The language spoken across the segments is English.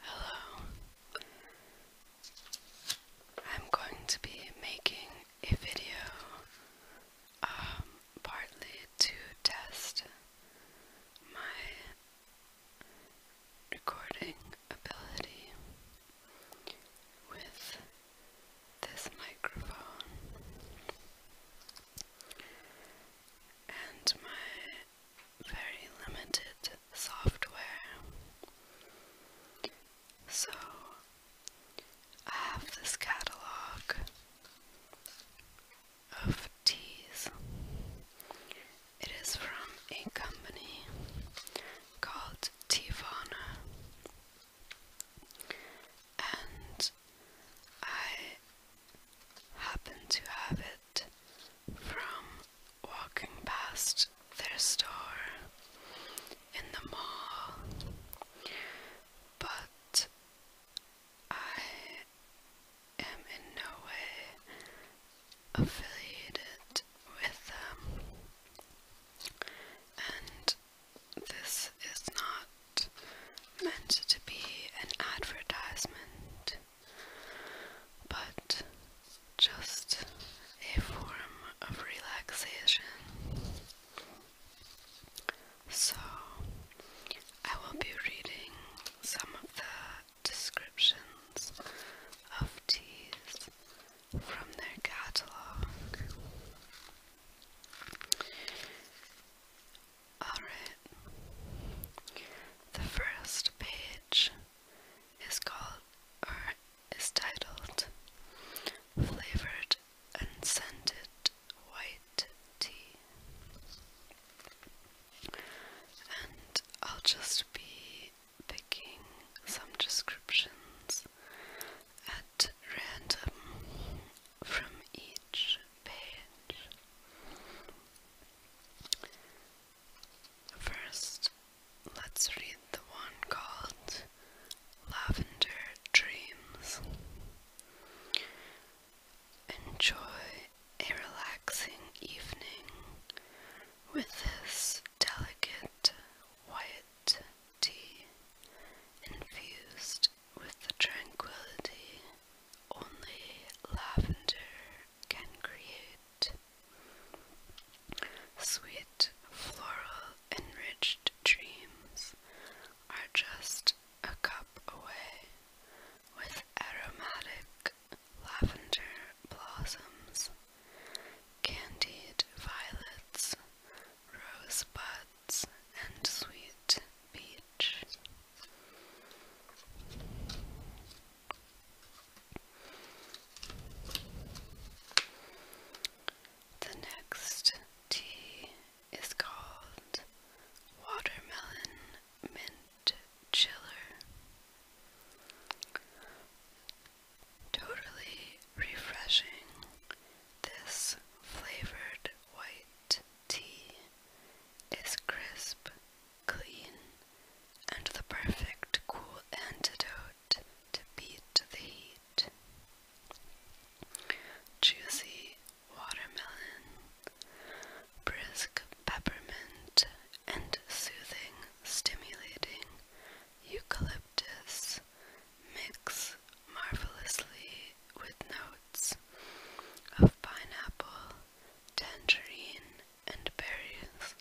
Hello. I'm going to be making a video um, partly to test my recording ability with this microphone and my very limited software. So I have this catalog of teas. It is from a company called Tivana, and I happen to have it from walking past their store in the mall, but I am in no way affiliated with them, and this is not meant to be an advertisement, but just a form of relaxation. So, I will be reading some of the descriptions of teas from their catalogue. Alright. The first page is called or is titled Flavored and Scented White Tea. And I'll just be picking some descriptions at random from each page. First, let's read the one called Lavender Dreams. Enjoy a relaxing evening with this delicate white tea infused with the tranquility only lavender can create. Sweet, floral, enriched dreams are just a cup away with aromatic lavender blossoms, candied violets, rosebuds, and sweet peach. The next tea is called Watermelon Mint Chiller. Totally refreshing this flavored white tea is crisp, clean, and the perfect cool antidote to beat the heat. Juicy watermelon, brisk peppermint, and soothing, stimulating eucalyptus mix marvelously with notes of pineapple, tangerine, and berries,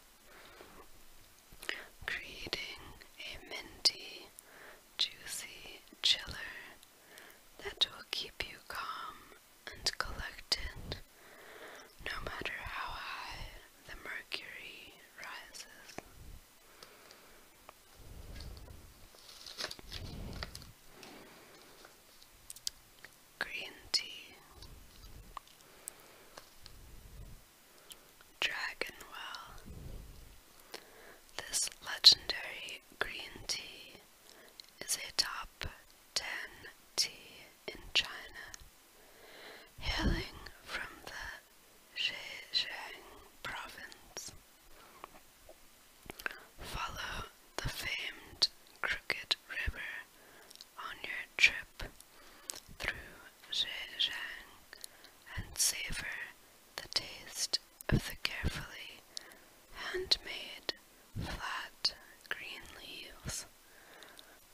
creating a minty, juicy chiller that will keep you calm and collected no matter how high the mercury rises. Green tea, Dragonwell. This legendary green tea is a top 10 tea in China, hailing from the Zhejiang province. Follow the famed Crooked River on your trip through Zhejiang and savor the taste of the carefully handmade flat green leaves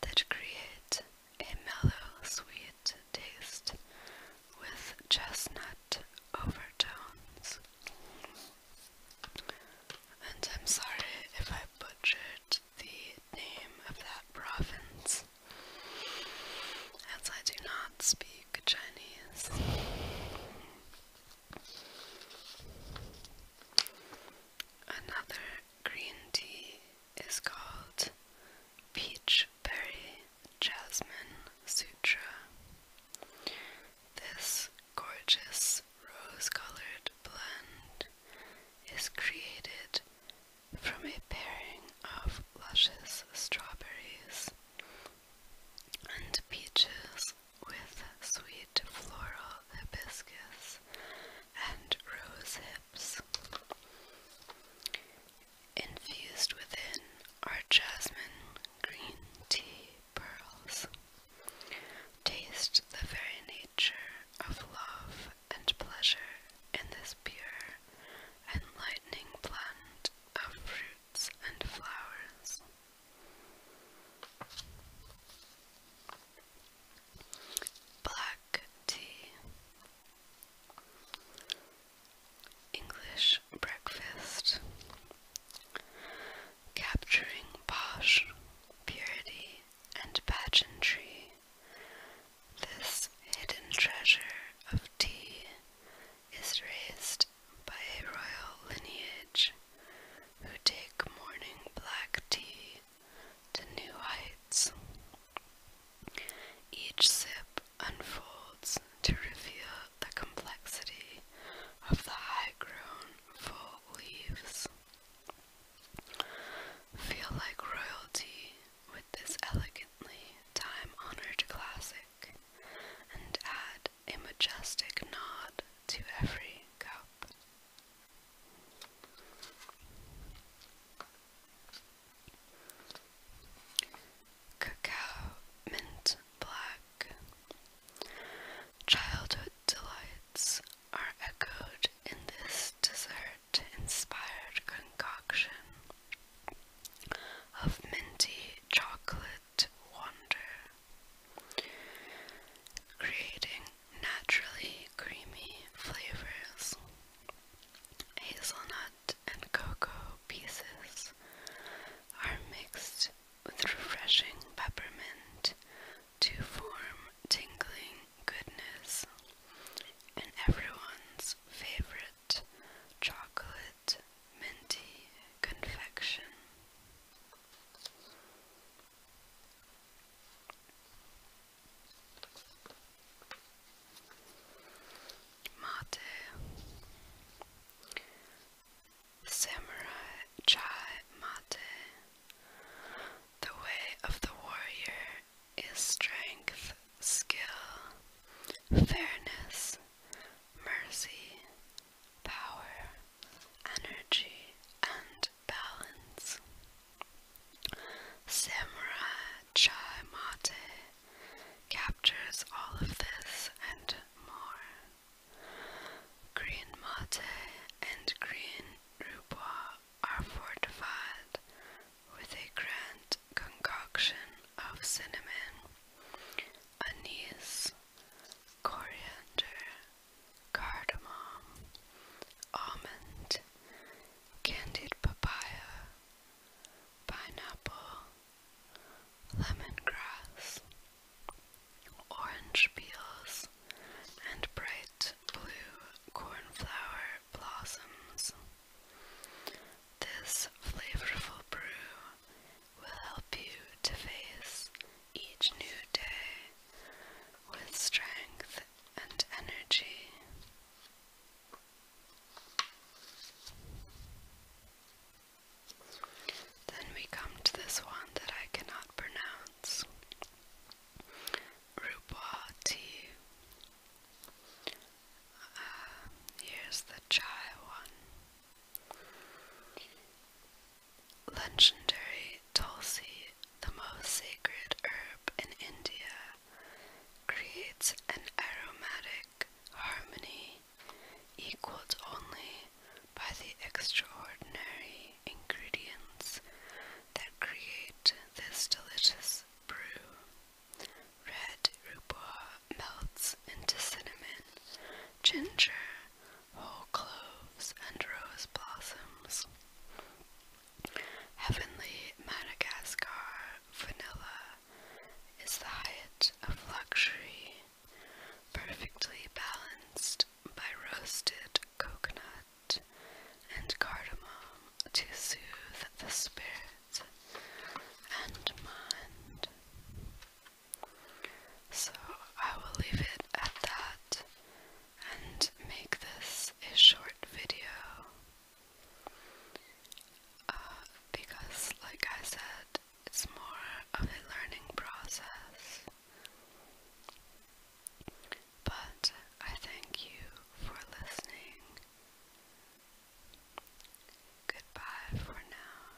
that create a mellow sweet taste with chestnut overtones. And I'm sorry if I butchered the name of that province, as I do not speak Chinese. Another green tea is called Peach Berry Jasmine Sutra. This gorgeous rose colored blend is created from a pairing of luscious strawberries and peaches with sweet floral hibiscus and rose Infused within are jasmine green tea pearls. Taste the very nature of love and pleasure in this pure, and enlightening plant of fruits and flowers. Black tea. English breakfast. Capturing posh purity and pageantry. This hidden treasure of tea is raised by a royal lineage who take morning black tea to new heights. Each sip unfolds to reveal the complexity of the high-grown full leaves. Feel like royalty with this elegantly time-honored classic and add a majestic nod to every cup. Cacao Mint Black. Childhood delights are echoed in this dessert inspired concoction of minty chocolate wonder, creating naturally creamy flavors, hazelnut and cocoa pieces are mixed with refreshing peppermint to form tingling goodness and everyone's favorite chocolate minty confection. Máte Samurai Chai Mate. The way of the warrior is strength, skill, fairness, mercy, power, energy, and balance. Samurai Chai Mate captures all of this and more. Green mate and green rubois are fortified with a grand concoction of cinnamon, anise, coriander, cardamom, almond, candied papaya, pineapple, lemongrass, orange peels, and bright blue cornflower blossoms. This flavorful brew will help you to face each new day with strength and energy. Then we come to this one that I cannot pronounce. Rupati. Uh, here's the chai one. Legendary Tulsi, the most sacred herb in India, creates an aromatic harmony equaled only by the extraordinary ingredients that create this delicious brew. Red rupa melts into cinnamon, ginger, whole cloves and rose blossoms. Heavenly Madagascar vanilla is the height of luxury, perfectly balanced by roasted coconut and cardamom to soothe the spirit and mind. So I will leave it at that and make this a short video uh, because, like I said, it's more of a learning process. But I thank you for listening. Goodbye for now.